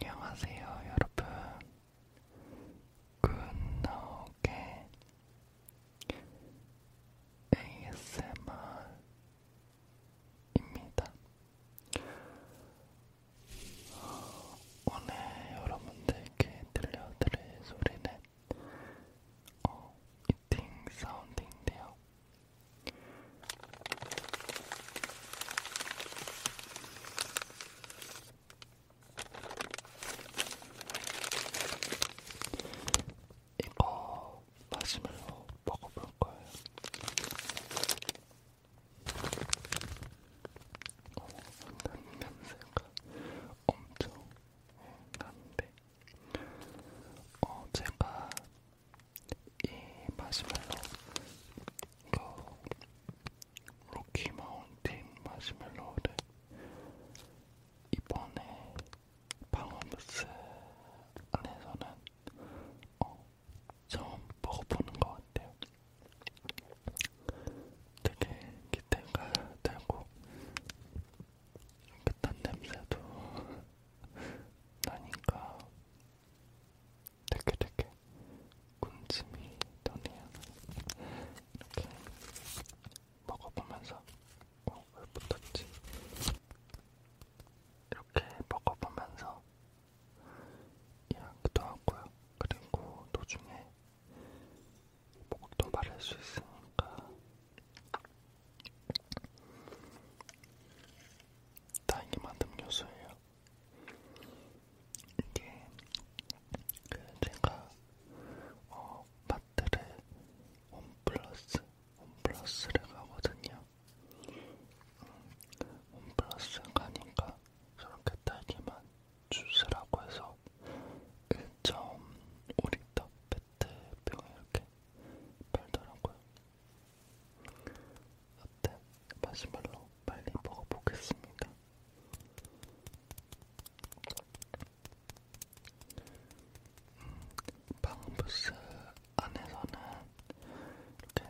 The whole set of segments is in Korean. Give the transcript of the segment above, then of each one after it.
안녕하세요, 여러분. 굿나오게 ASMR입니다. 오늘 여러분들께 들려드릴 소리는 어, 이팅 사운드인데요. 이거 마시멜로 먹어볼 거예요. 어, 냄새가 엄청 난데 어, 제가 이 마시멜로 그 로키 마운틴 마시멜로를 이번에 방어부스 안에서는 어, 처음 먹어보는 것 같아요. 되게 기대가 되고 깨끗한 냄새도 나니까 되게 되게 군침이 도네요. 이렇게 먹어보면서 어, 왜 붙었지? 이렇게 먹어보면서 이야기도 하고요. 그리고 도중에 목도 마를 수 있으니까 다행히 만든 요소예요. 이게 그 제가 어, 마트를 홈플러스 홈플러스를 가거든요. 홈플러스 가니까 저렇게 딸기만 주스라고 해서 1.5리터 페트병에 이렇게 팔더라고요. 어때? 마시멜로 빨리 먹어보겠습니다. 음, 방부스 안에서는 이렇게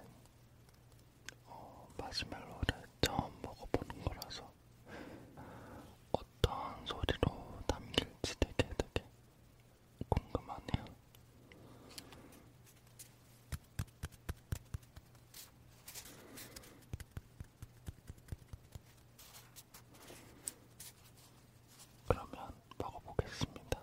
어, 마시멜로를 처음 먹어보는 거라서 어떤 소리로 담길지 되게 되게 궁금하네요. 그러면 먹어보겠습니다.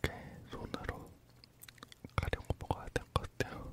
이렇게 손으로 가려고 먹어야 될 것 같아요.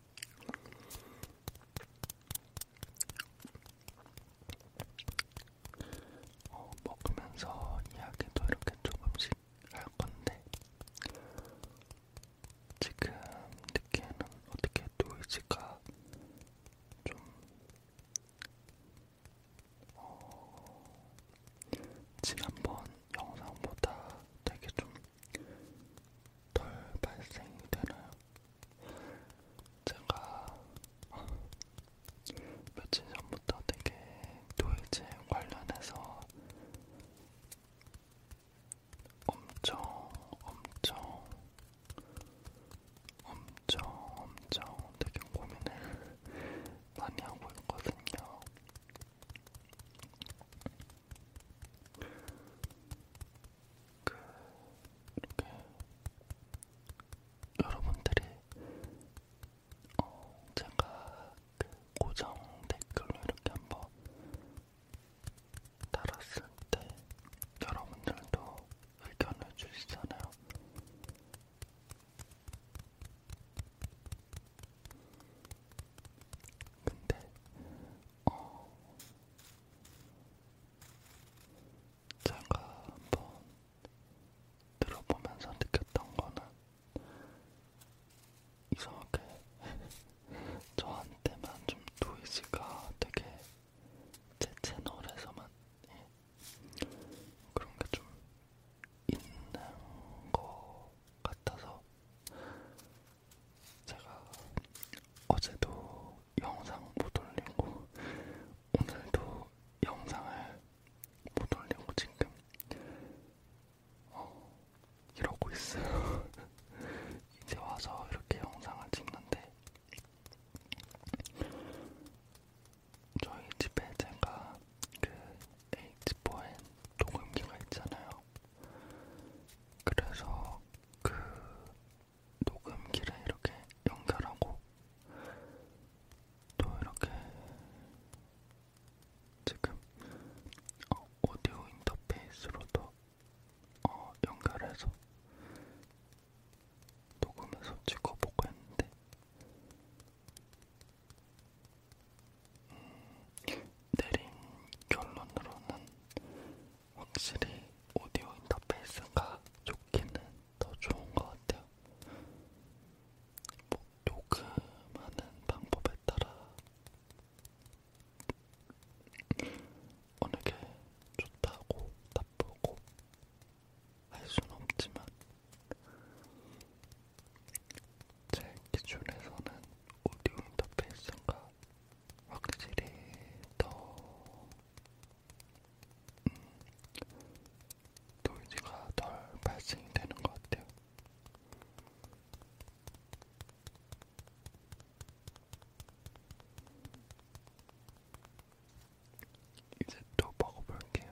어, 먹으면서 이야기도 이렇게 조금씩 할 건데, 지금 느끼는 어떻게 노이즈가 좀, 어, 지난번 영상보다 되게 좀덜 발생이 되나요? 제가 어, 며칠 전부터 되게 노이즈에 관련해서 엄청 엄청 엄청 엄청 되게 고민을 많이 하고 있거든요. 그 이렇게 여러분들이 어 제가 그 고정 댓글로 이렇게 한번 달았을 때 여러분들도 의견을 주시잖아요. 근데 어 제가 한번 들어보면서 느꼈던 거는 이상하게 저한테만 좀 노이즈가 되게 제 채널에서만 예. 그런 게 좀 있는 것 같아서 제가 어제도 영상 못 올리고 오늘도 영상을 못 올리고 지금 어, 이러고 있어요. 이제 와서 이렇게 영상을 찍는데 저희 집에 제가 그 H4N 녹음기가 있잖아요. 그래서 그 녹음기를 이렇게 연결하고 또 이렇게 지금 어, 오디오 인터페이스로도 어, 연결해서 녹음해서 찍어보고 했는데 음, 내린 결론으로는 확실히 오디오 인터페이스가 좋기는 더 좋은 것 같아요. 뭐 녹음하는 방법에 따라 어느 게 좋다고 나쁘고 할 수는 없지만 제 기준에서는 오디오 인터페이스가 확실히 더 음, 노이즈가 덜 발생이 되는 것 같아요. 이제 또 먹어볼게요.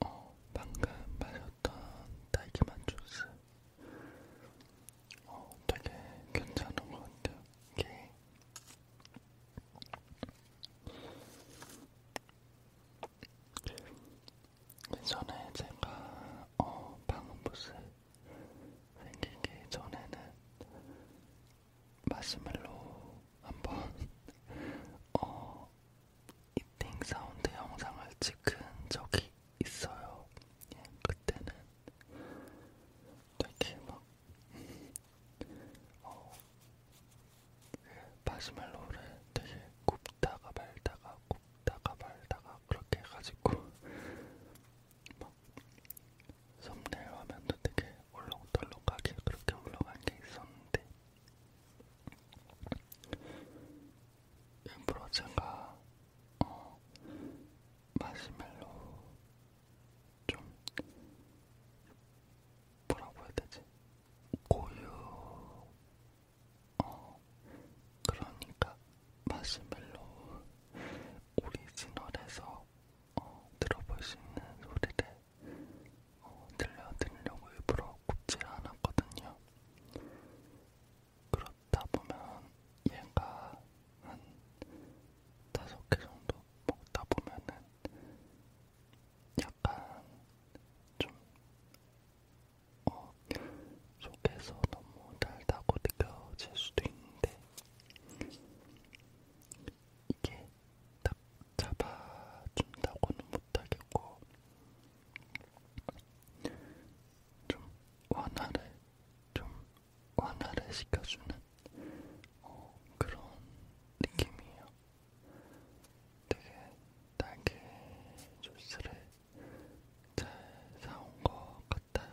어, 방금 마셨던 딸기맛 주스 어, 되게 괜찮은 것 같아요. 이게 예전에 제가 어, 방음부스 생기기 전에는 마시멜로 한번 어, 이팅 사운드 영상을 찍은 적이 있어요. 예, 그때는 되게 막 어, 예, 마시멜로를 되게 굽다가 말다가 굽다가 말다가 그렇게 해가지고 뭐 썸네일 화면도 되게 올록덜록하게 그렇게 올라간 게 있었는데 일부러 제가 어, 마시멜로 좀 뭐라고 해야 되지? 고유 어 그러니까 마시멜로 오리지널에서 어, 들어볼 수 있는 소리를 어, 들려드리려고 일부러 굽지 않았거든요. 그렇다 보면 얘가 한 다섯 개 정도 먹다 보면은 약간 좀 어, 속에서 너무 달다고 느껴질 수도 있는데 이게 딱 잡아준다고는 못하겠고 좀 완화를 좀 완화를 시켜주는 어, 그런 느낌이에요. 되게 딸기 주스를 잘 사온 것 같아요.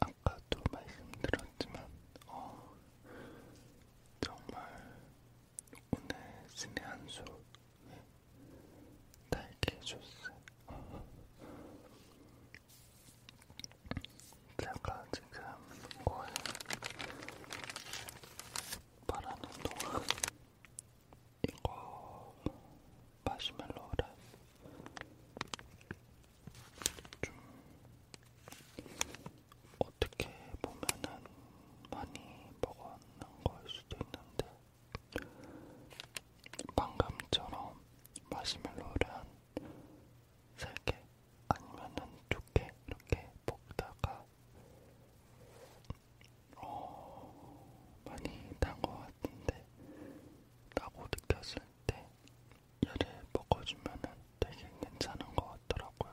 아까도 말씀드렸지만, 어, 정말 오늘 스네 한솔 달게 해줬어요. 제가 지금 거의 말하는 동안 이거 마시멜로를 좀 어떻게 보면은 많이 먹었는 걸 수도 있는데 방금처럼 마시멜로를 한 3개 아니면은 2개 이렇게 먹다가 어, 많이 단것 같은데 라고 느꼈을 때 얘를 먹어주면은 되게 괜찮은 것 같더라고요.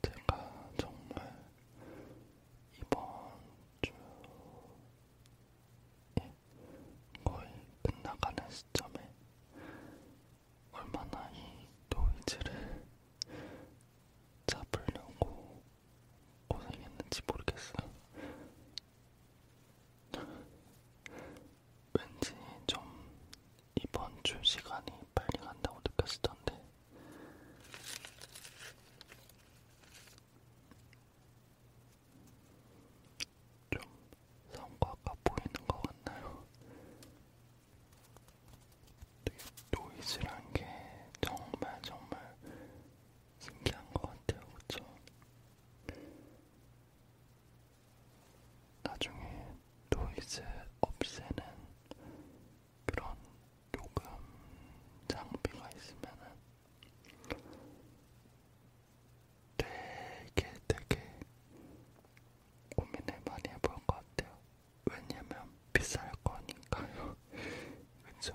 제가 정말 이번 주 거의 끝나가는 시점에 얼마나 이 노이즈를 잡으려고 고생했는지 모르겠어요. 왠지 좀 이번 주 시간이 빨리 간다고 느꼈었던데 좀 성과가 보이는 것 같나요? 네, 노이즈란 게 정말 정말 신기한 것 같아요, 그쵸? 나중에 노이즈 없애는 그런 녹음 장비가 있으면은 되게 되게 고민을 많이 해볼 것 같아요. 왜냐면 비쌀 거니까요. 그쵸?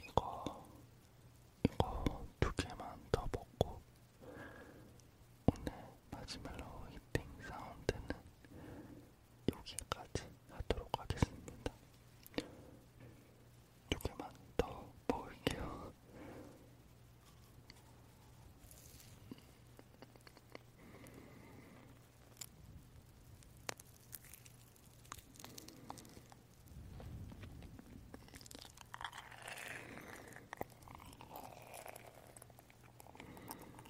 이거 이거 두 개만 더 먹고 오늘 마지막으로 히팅 사운드는 여기까지 하도록 하겠습니다. 조개만 더 먹을게요.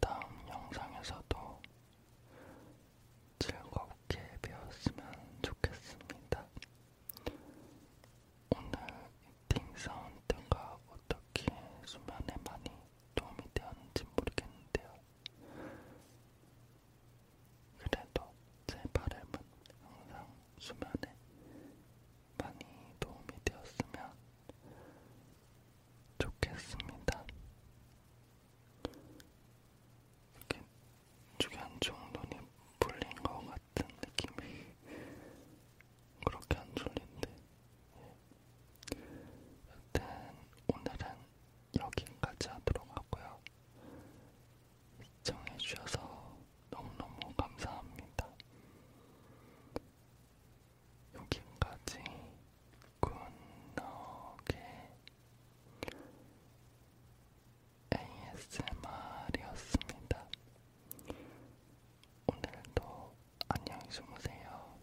다음 영상에서도 즐겁게 배웠으면 좋겠습니다. 오늘 팅 사운드가 어떻게 수면에 많이 도움이 되었는지 모르겠는데요. 그래도 제 발음은 항상 수면에 많이 도움이 되었으면 좋겠습니다. 이렇게 주변쪽 눈이 풀린 것 같은 느낌이 그렇게 안 졸린데 예. 여튼 오늘은 여기까지 하도록 하고요. 시청해주셔서 너무너무 감사합니다. 여기까지 굿너게 ASMR이었습니다. 오늘도 안녕히 주무세요.